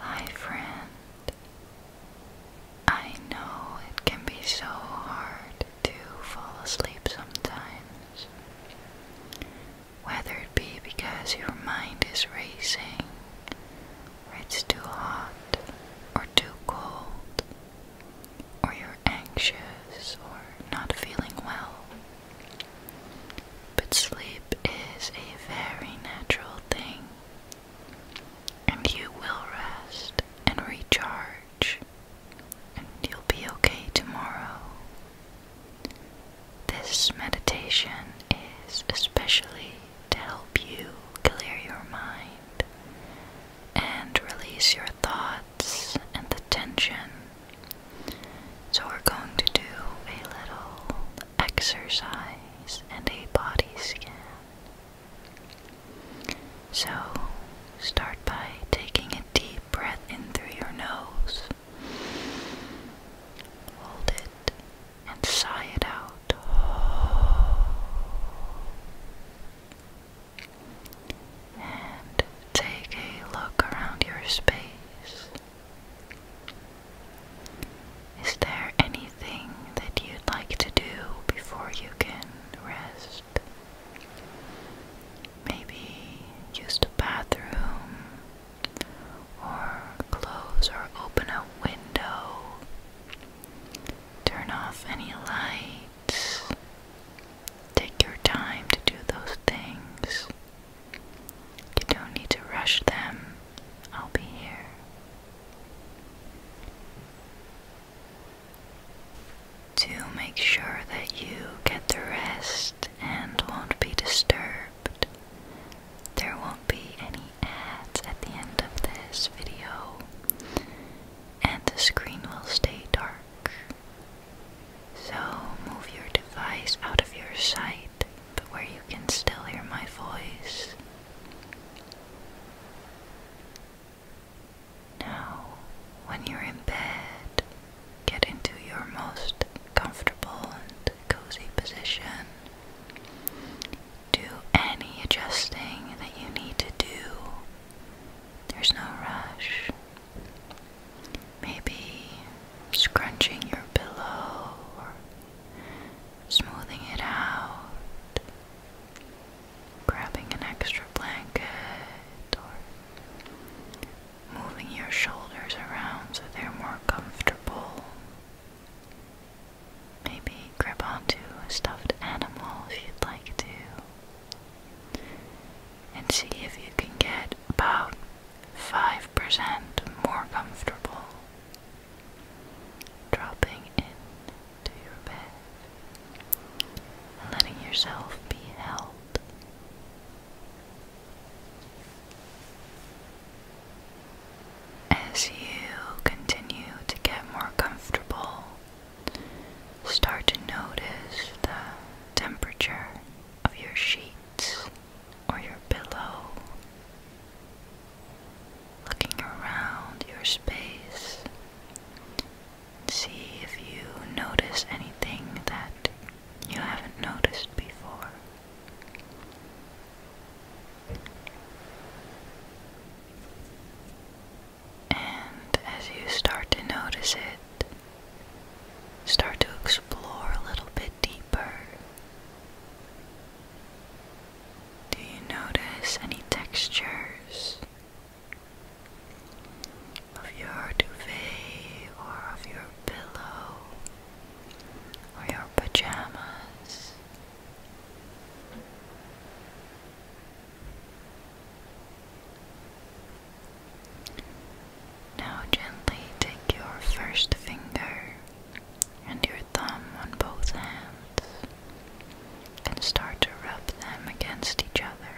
Hi, friend. I know it can be so hard to fall asleep sometimes, whether it be because your mind is racing, or it's too hot, or too cold, or you're anxious, or not feeling well. But sleep is a very natural thing and you will rest and recharge, and you'll be okay tomorrow. This meditation is especially to help you clear your mind and release your thoughts and the tension. So, we're going to do a little exercise, and a body scan. So, start by taking a deep breath in through your nose. Hold it and sigh it out. And take a look around your space. Is there anything that you'd like to do before you can rest? Maybe use the bathroom or close or open a window. Turn off any lights. Take your time to do those things. You don't need to rush them. I'll be here. To make sure that you get the rest and won't be disturbed, there won't be any ads at the end of this video, and the screen will stay dark. So move your device out of your sight, but where you can still hear my voice. Now, when you're in bed, get into your most comfortable and cozy position. Do any adjusting that you need to do. There's no rush. Maybe scrunching your pillow smoothing it out, grabbing an extra blanket, or moving your shoulders around so they're more comfortable. Maybe grab onto a stuffed animal if you'd like to, and see if you can get about 5% more comfortable dropping into your bed letting yourself be held. As you continue to get more comfortable, start to notice the temperature of your sheets or your pillow looking around your space. See if you notice anything that you haven't noticed before. And as you start to notice it, start to explore a little bit deeper. Do you notice any textures of your duvet or of your pillow or your pajamas? Now, gently take your first finger and your thumb on both hands and start to rub them against each other.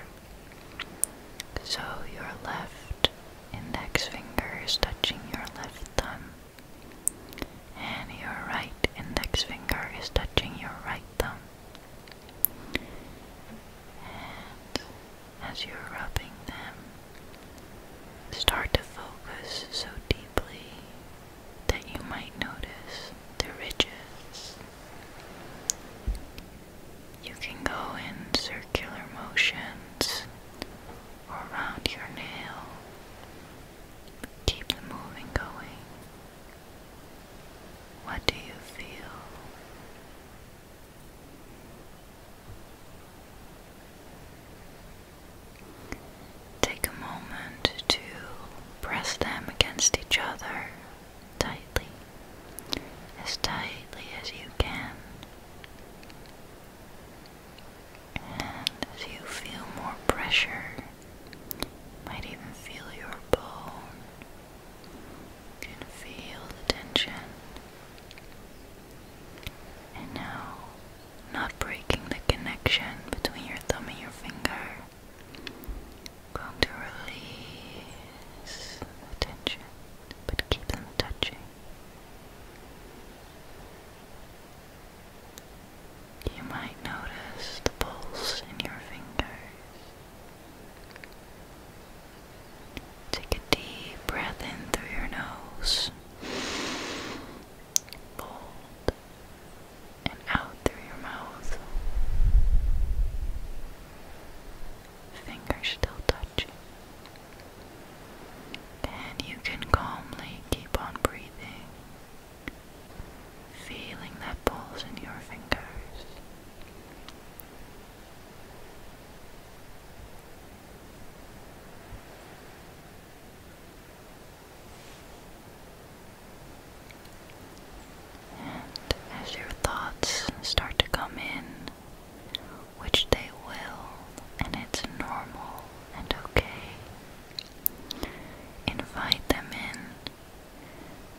So your left index finger is touching your left thumb, and your right index finger is touching your right thumb. And as you're rubbing them, start to focus so deeply that you might notice the ridges. You can go in circular motions around your nail. Keep the moving going. What do you feel? Take a moment to press them against each other tightly, as tightly as you can. And as you feel more pressure, you might even feel your bone. You can feel the tension. And now not breaking the connection between your thumb and your finger. Going to release the tension, but keep them touching. You might notice the pulse in your fingers. Take a deep breath in through your nose bold and out through your mouth. Fingers still touching. And you can calmly keep on breathing, feeling that pulse in your fingers. And as your thoughts start to come in, which they will, and it's normal and okay, invite them in.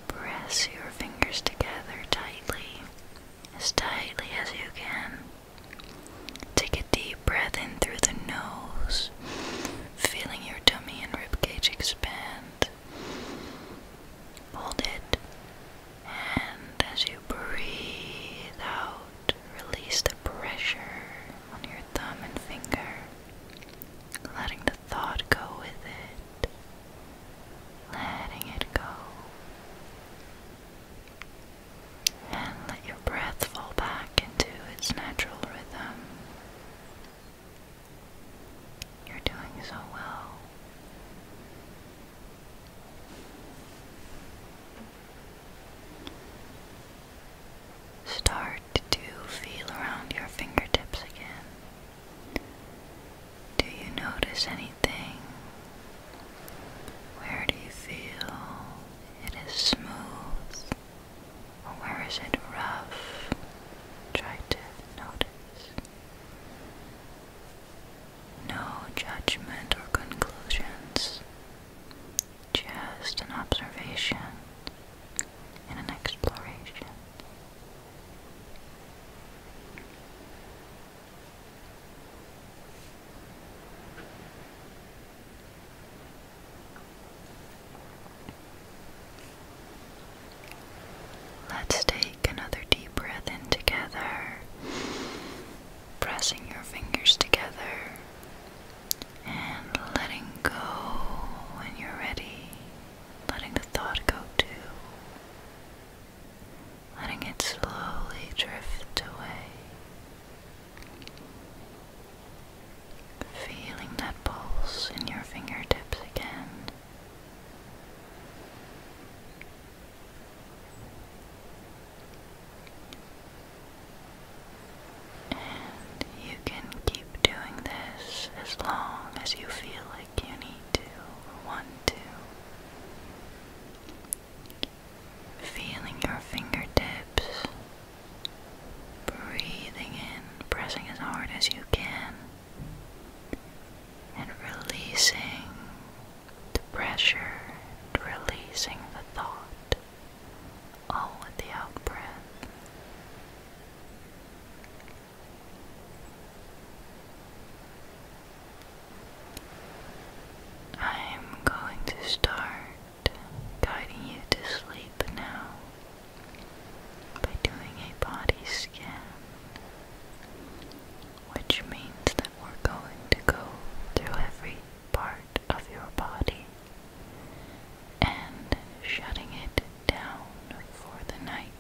Press your fingers together tightly, as tightly as you can. Take a deep breath in through the nose, feeling your tummy and ribcage expand. Hold it, and as you breathe out, release the pressure on your thumb and finger, letting the thought go with it, letting it go and let your breath fall back into its natural rhythm. You're doing so well. Start to feel around your fingertips again. Do you notice anything? Where do you feel it is smooth where is it rough? Try to notice. No judgment or conclusions, just an observation and an exploration. Let's take another deep breath in together, pressing your fingers together and letting go when you're ready, letting the thought go too, letting it slowly drift away. Feeling that pulse in your fingertips again. And you can keep doing this as long as you feel like you need to want to. Feeling your fingertips Breathing in, pressing as hard as you can, and releasing the pressure, releasing the thought, all with the out breath. I'm going to start guiding you to sleep now by doing a body scan, which means that we're going to go through every part of your body and shutting it down for the night.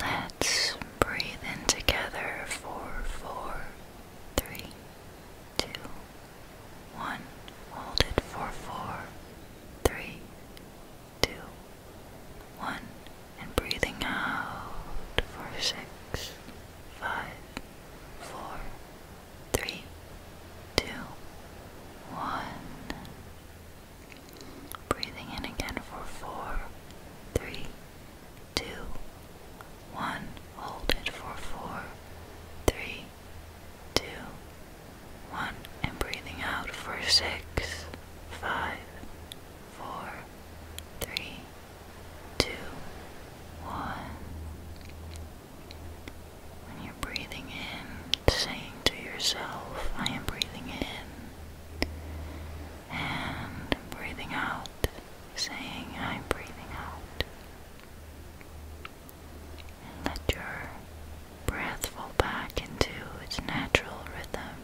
Let's breathe in together for four, three, two, one. Hold it for four, three, two, one. And breathing out for six, five, four, three, two, one. Breathing in again for four, three, two, one, hold it for four, three, two, one, and breathing out for six, five, four, three, two, one. When you're breathing in, saying to yourself, I am breathing in, and breathing out, saying, I'm breathing out. Let your breath fall back into its natural rhythm.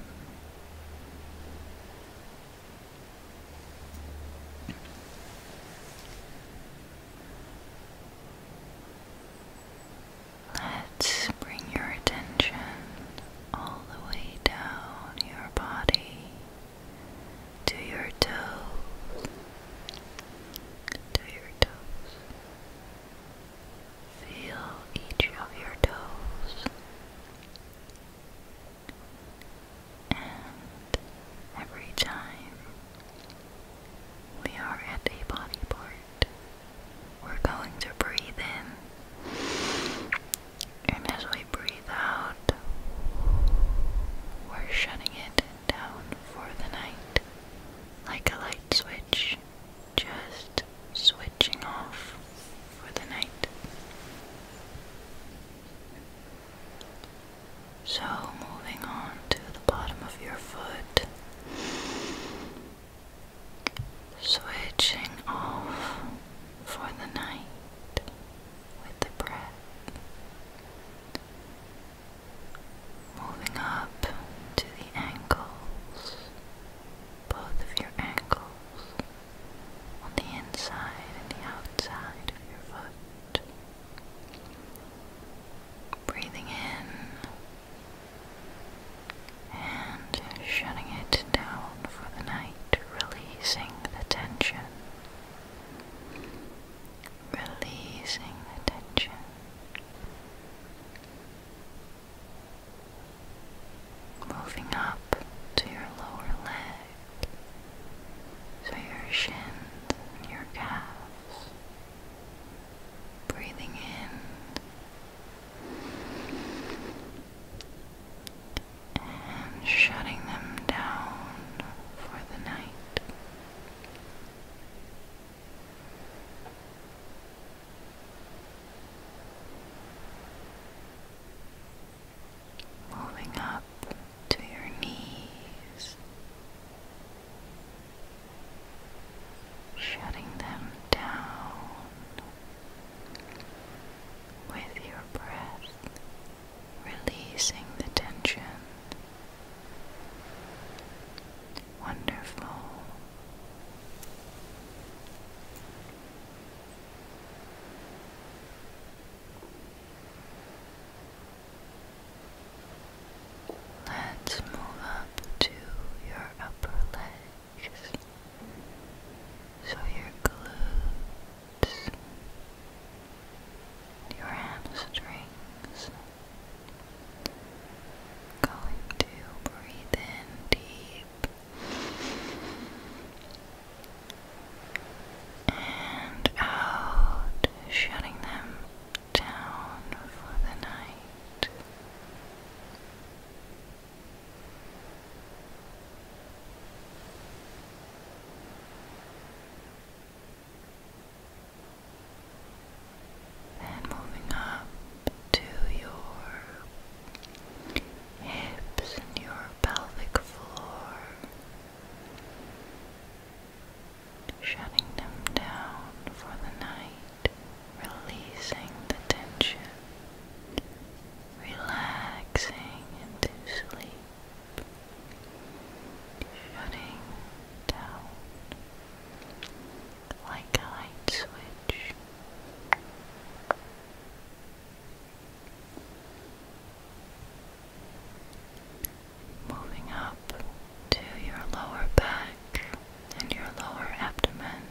Let's bring your attention all the way down your body to your toes, to your toes. Feel each of your toes and every time we are at a body part, we're going to breathe in and as we breathe we're shutting it down for the night. Like a light switch, just switching off for the night. So, moving on to the bottom of your foot, switching off for the night with the breath. Moving up to the ankles, both of your ankles, on the inside and the outside of your foot. Breathing in and shutting it down for the night, releasing the tension releasing the tension. Moving up to your lower leg, so your shins and your calves. Breathing in and shutting them down for the night. Moving up to your knees, shutting them down with your breath releasing the tension. Wonderful. Let's move up to your upper legs so your glutes your hamstrings. Going to breathe in deep and out, shutting them down for the night. And moving up to your hips and your pelvic floor, shutting them down for the night, releasing the tension, relaxing into sleep shutting down like a light switch. Moving up to your lower back and your lower abdomen.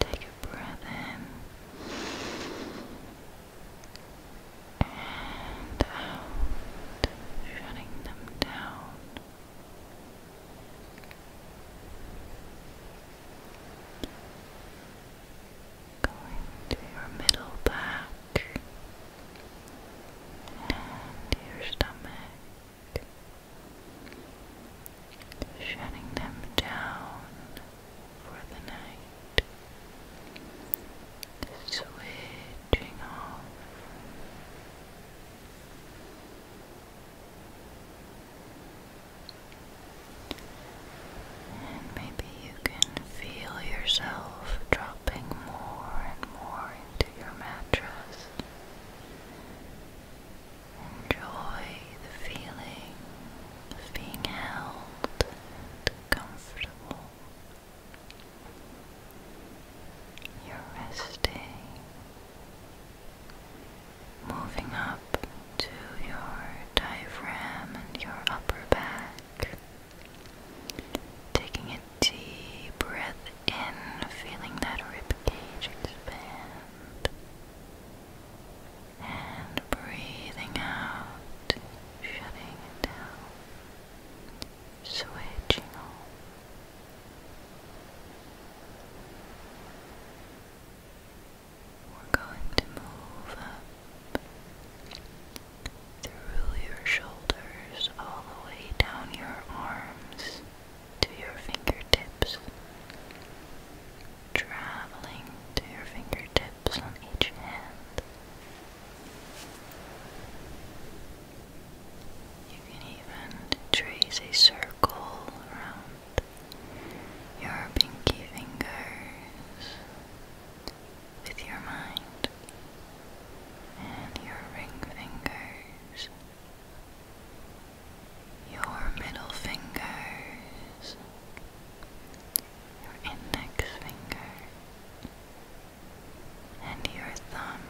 Take a breath in and out, shutting them down. Going to your middle back and your stomach, shutting them down for the night, switching off. And maybe you can feel yourself dropping more and more into your mattress. Enjoy the feeling of being held comfortable. You're resting, moving up to your diaphragm and your upper back, taking a deep breath in, feeling that rib cage expand, and breathing out, shutting it down switching We're going to move up through your shoulders all the way down your arms to your fingertips, traveling to your fingertips on each hand. You can even trace a circle around your pinky fingers with your mind and your ring fingers, your middle fingers, your index finger, and your thumb.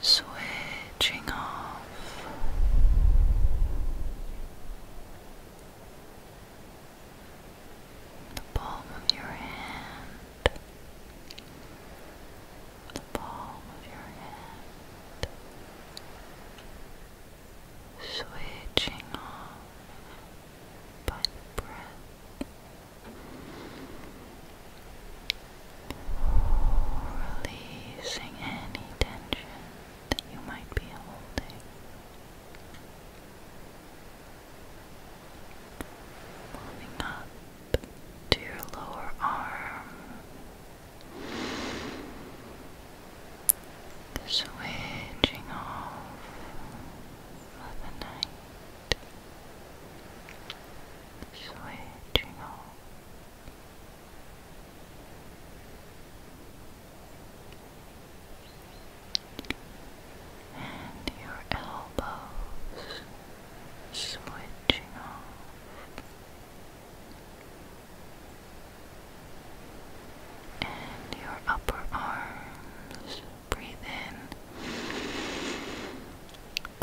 Switching off. The palm of your hand, the palm of your hand, switching off by breath, releasing any tension that you might be holding. Moving up to your lower arm, the switching off of the night, switching off. And your elbows switching off, and your upper arms. Breathe in,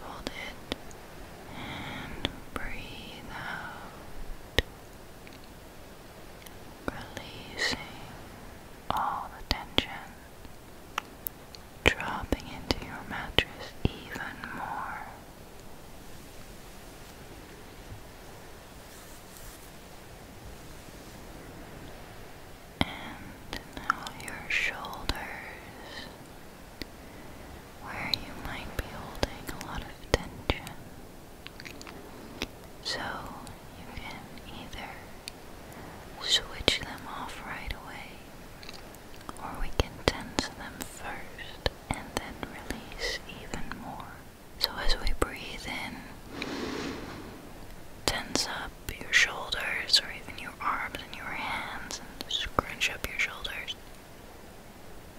hold it, and breathe out. Releasing all the tension, dropping into your mattress even more. And now your shoulders, where you might be holding a lot of tension. So you can either switch them off right away, or we can tense them first and then release even more. So, as we breathe in, tense up your shoulders or even your arms and your hands and scrunch up your shoulders.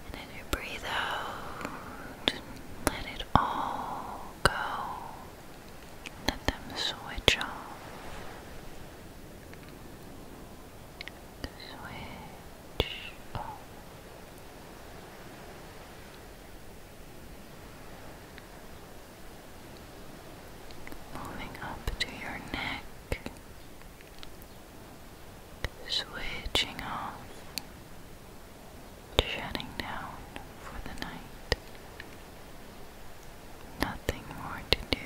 And as you breathe out, let it all go. Let them switch off. Switch off. Moving up to your neck, switching off, shutting down for the night. Nothing more to do.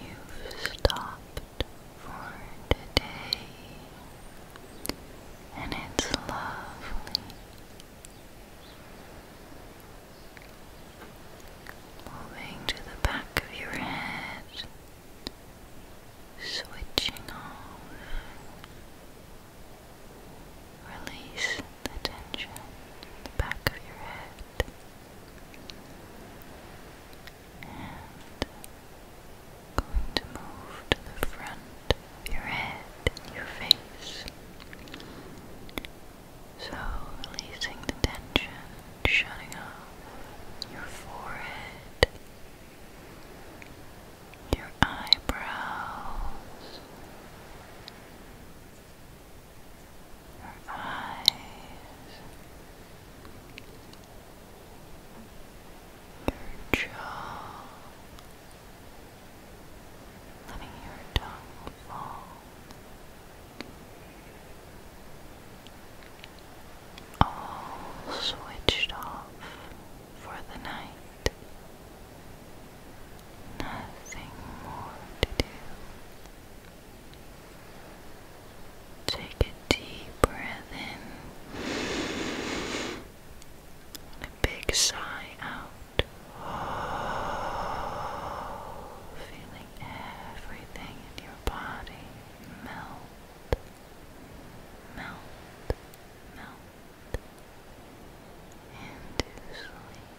You've stopped for today, and it's lovely. Moving to the back of your head, switching off, release the tension at the back of your head. And going to move to the front of your head your face. So releasing the tension, shutting off your forehead, your eyebrows, your eyes, your jaw, letting your tongue fall. All switched off for the night. Nothing more to do. Take a deep breath in a big sigh out. Feeling everything in your body melt, melt, melt into sleep.